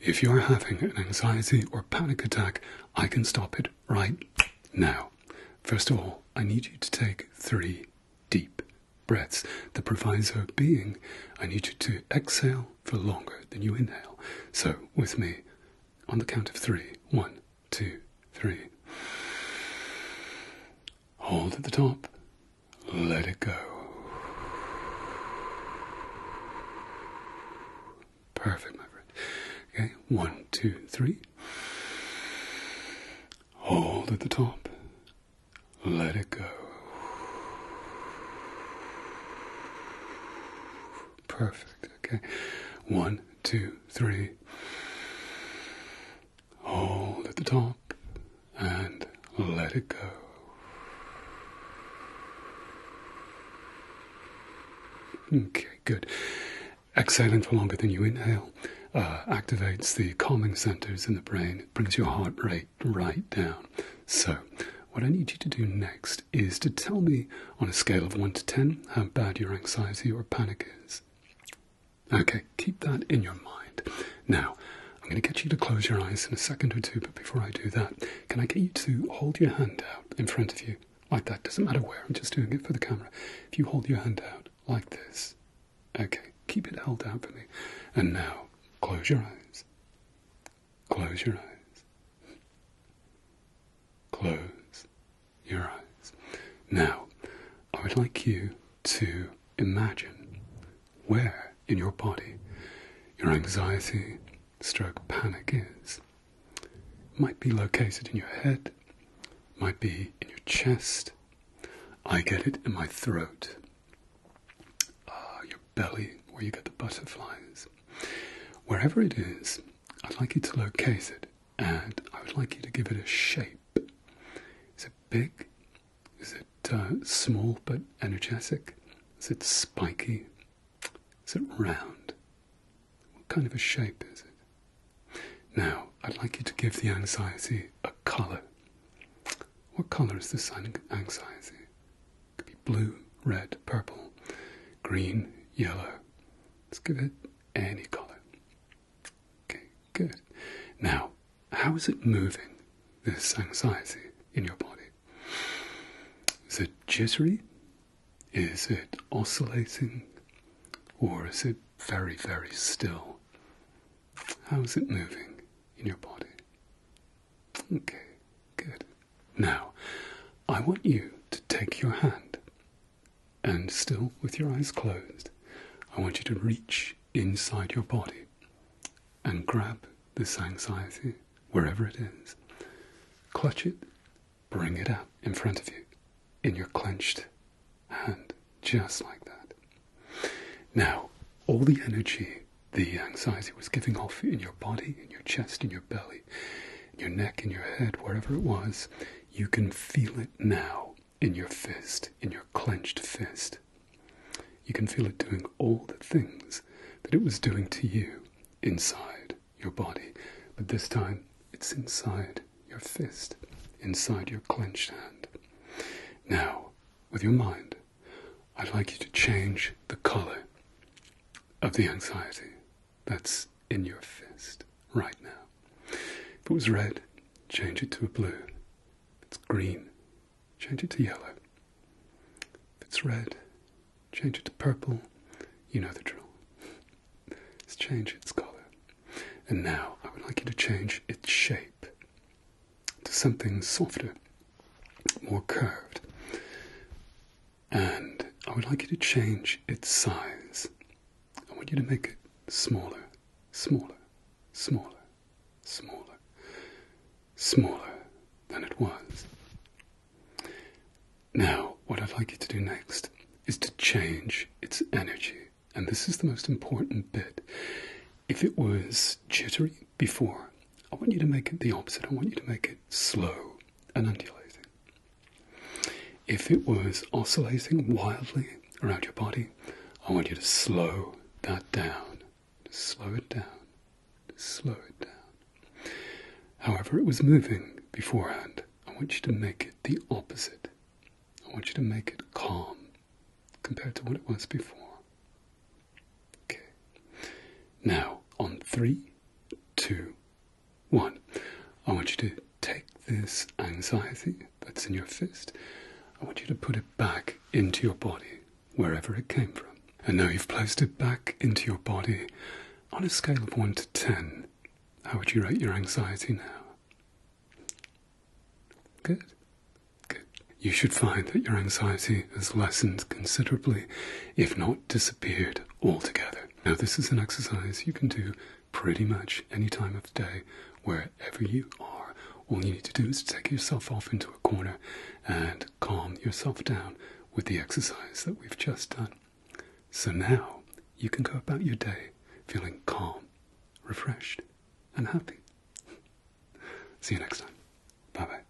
If you're having an anxiety or panic attack, I can stop it right now. First of all, I need you to take three deep breaths. The proviso being, I need you to exhale for longer than you inhale. So, with me, on the count of three one, two, three. Hold at the top, let it go. Perfect, my friend. Okay, one, two, three. Hold at the top. Let it go. Perfect. Okay. One, two, three. Hold at the top and let it go. Okay, good. Exhaling for longer than you inhale uh, activates the calming centers in the brain, it brings your heart rate right down. So, what I need you to do next is to tell me on a scale of 1 to 10 how bad your anxiety or panic is. Okay, keep that in your mind. Now, I'm going to get you to close your eyes in a second or two, but before I do that, can I get you to hold your hand out in front of you like that? Doesn't matter where, I'm just doing it for the camera. If you hold your hand out like this, okay, keep it held out for me. And now, close your eyes. Close your eyes. Close your eyes. Now, I would like you to imagine where in your body your anxiety stroke panic is. It might be located in your head, might be in your chest. I get it in my throat. Uh, your belly, where you get the butterflies. Wherever it is, I'd like you to locate it and I would like you to give it a shape. Is it big? Is it uh, small but energetic? Is it spiky? Is it round? What kind of a shape is it? Now, I'd like you to give the anxiety a colour. What colour is this anxiety? It could be blue, red, purple, green, yellow. Let's give it any colour. Okay, good. Now, how is it moving, this anxiety in your body? Is it jittery? Is it oscillating? Or is it very, very still? How is it moving in your body? Okay, good. Now, I want you to take your hand and still with your eyes closed, I want you to reach inside your body and grab this anxiety wherever it is. Clutch it, bring it up in front of you in your clenched hand, just like that. Now, all the energy the anxiety was giving off in your body, in your chest, in your belly, in your neck, in your head, wherever it was, you can feel it now in your fist, in your clenched fist. You can feel it doing all the things that it was doing to you inside your body, but this time it's inside your fist, inside your clenched hand. Now, with your mind, I'd like you to change the color of the anxiety that's in your fist right now. If it was red, change it to a blue. If it's green, change it to yellow. If it's red, change it to purple. You know the drill. Let's change its color. And now I would like you to change its shape to something softer, more curved. And I would like you to change its size I want you to make it smaller, smaller, smaller, smaller, smaller than it was. Now, what I'd like you to do next is to change its energy. And this is the most important bit. If it was jittery before, I want you to make it the opposite. I want you to make it slow and undulating. If it was oscillating wildly around your body, I want you to slow that down. slow it down. slow it down. However, it was moving beforehand, I want you to make it the opposite. I want you to make it calm compared to what it was before. Okay. Now, on three, two, one, I want you to take this anxiety that's in your fist, I want you to put it back into your body, wherever it came from. And now you've placed it back into your body. On a scale of 1 to 10, how would you rate your anxiety now? Good. Good. You should find that your anxiety has lessened considerably, if not disappeared altogether. Now, this is an exercise you can do pretty much any time of the day, wherever you are. All you need to do is take yourself off into a corner and calm yourself down with the exercise that we've just done. So now you can go about your day feeling calm, refreshed, and happy. See you next time. Bye bye.